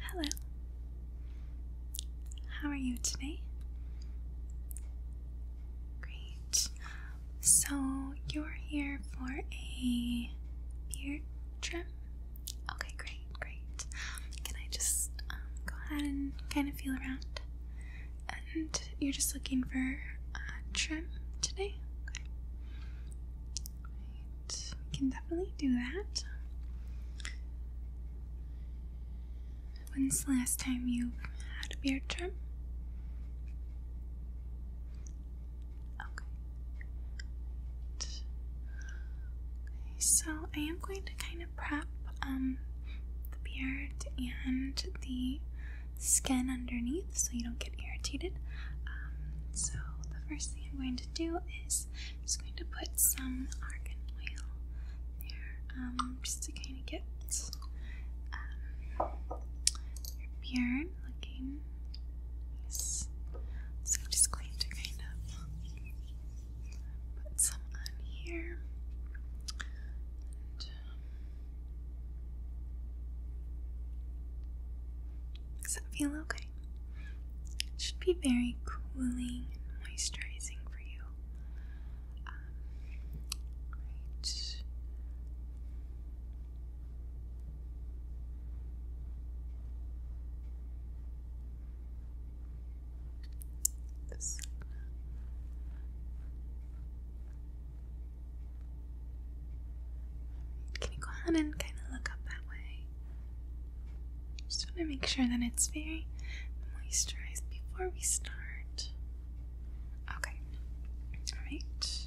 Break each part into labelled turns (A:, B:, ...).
A: Hello. How are you today? Great. So, you're here for a beard trim? Okay, great, great. Can I just um, go ahead and kind of feel around? And you're just looking for a trim today? right, can definitely do that. When's the last time you had a beard trim? okay. So I am going to kind of prep um the beard and the skin underneath so you don't get irritated. Um, so the first thing I'm going to do is I'm just going to put some argan oil there, um, just to kind of get um, your beard looking nice. So I'm just going to kind of put some on here. Does that feel okay? It should be very cooling and moisturizing for you. Um, This. Can you go ahead and kind of look up that way? Just want to make sure that it's very moisturized before we start. Okay. Alright.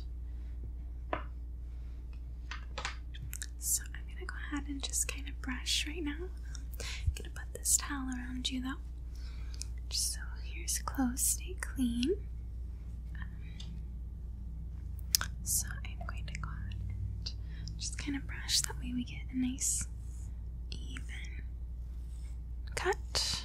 A: So I'm going to go ahead and just kind of brush right now. I'm going to put this towel around you though. Just so here's clothes stay clean. Um, so I'm going to go ahead and just kind of brush. That way we get a nice even cut.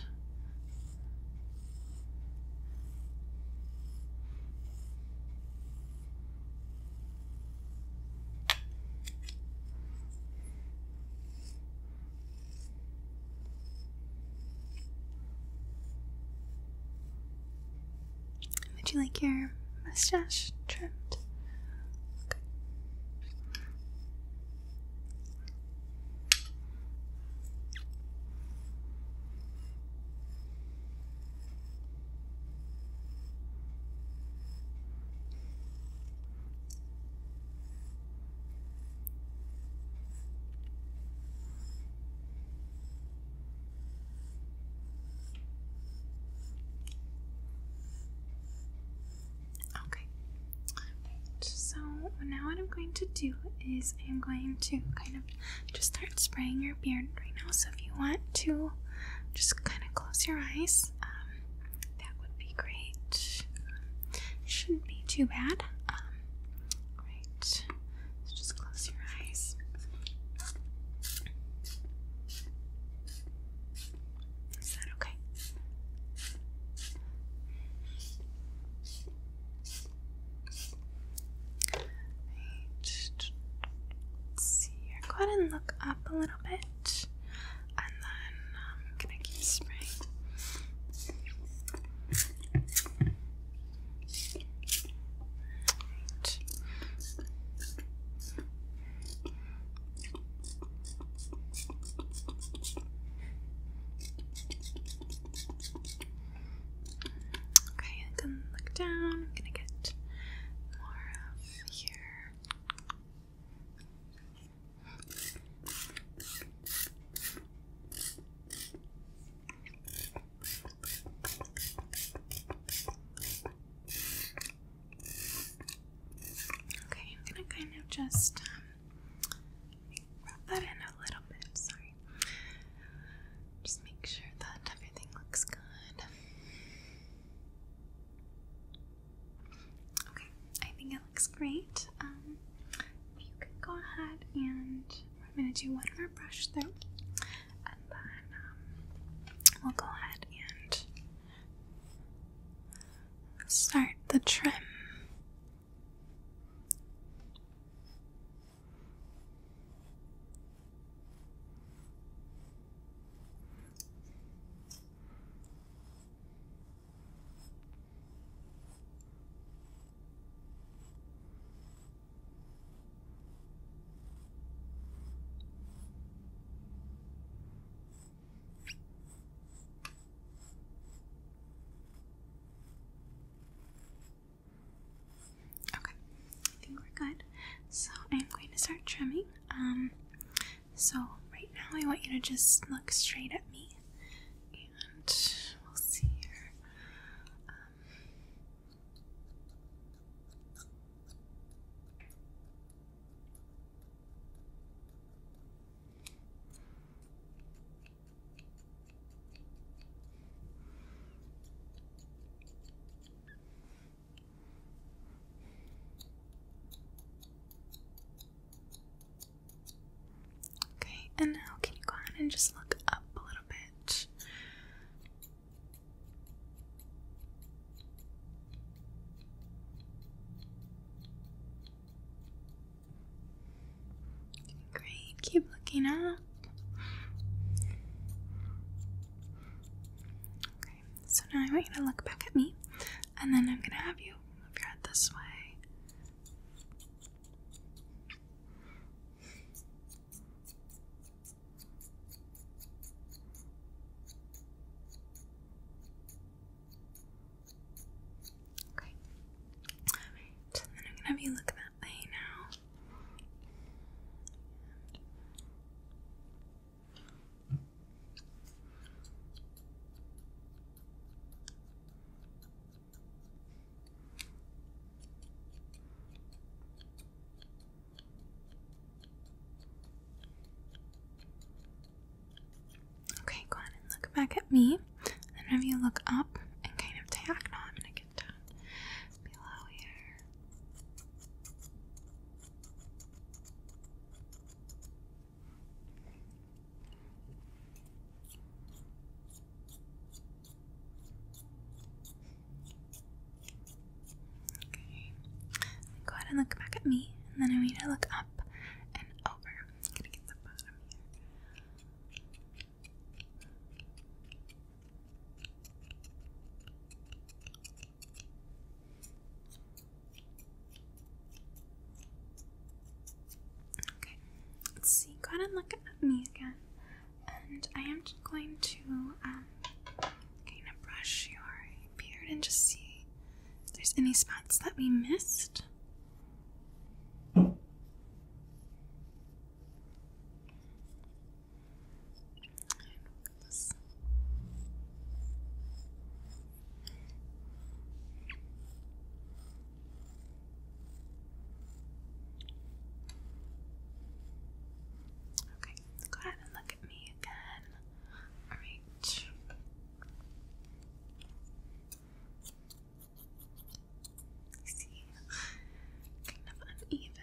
A: Would you like your mustache trimmed? Okay, so now what I'm going to do is I'm going to kind of just start spraying your beard right now. So if you want to just kind of close your eyes, um, that would be great. Shouldn't be too bad. Um, Right. just close your eyes. Is that okay? Right. Go ahead and look up a little bit, and then I'm um, gonna keep spraying. Right. Okay, I can look down. I'm gonna get more of here. Okay, I'm gonna kind of just um, rub that in a little bit. Sorry, just make sure that everything looks good. Okay, I think it looks great. Um, you can go ahead and I'm going to do one more brush through, and then um, we'll go ahead and start the trim. Okay, I think we're good. So I'm going to start trimming. Um, so, right now, I want you to just look straight at me and we'll see here. Um, Okay, and now can you go ahead and just look up a little bit? Great, keep looking up. Okay, so now I want you to look back at me. And then I'm gonna have you move your head this way. Okay. So I'm gonna have you look that way now. Okay, go on and look back at me. Then, whenever you look up and kind of diagonal, i gonna get down below here. Okay. Go ahead and look back at me, and then I need to look up and over. Okay, let's see. Go ahead and look at me again. And I am just going to um, kind of brush your beard and just see if there's any spots that we missed necklace. Okay, go ahead and look at me again. All right. You see, kind of uneven.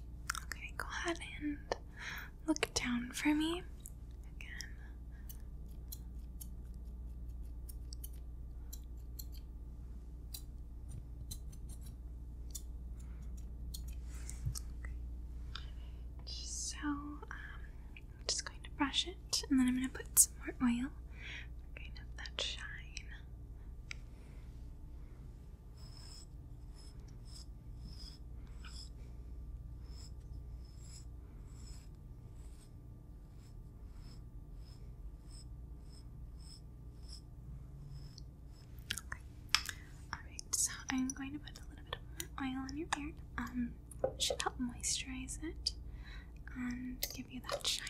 A: Okay, go ahead and look down for me again. So, um, I'm just going to brush it and then I'm going to put some more oil. We're going that shine. Alright, so I'm going to put a little bit of oil on your hair. Um, should help moisturize it and give you that shine.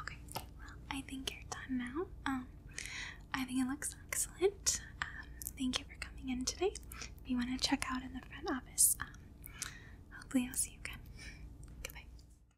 A: Okay, well, I think you're done now. Um, I think it looks excellent. Um, thank you for coming in today. If you want to check out in the front office, um, hopefully I'll see you again. Goodbye.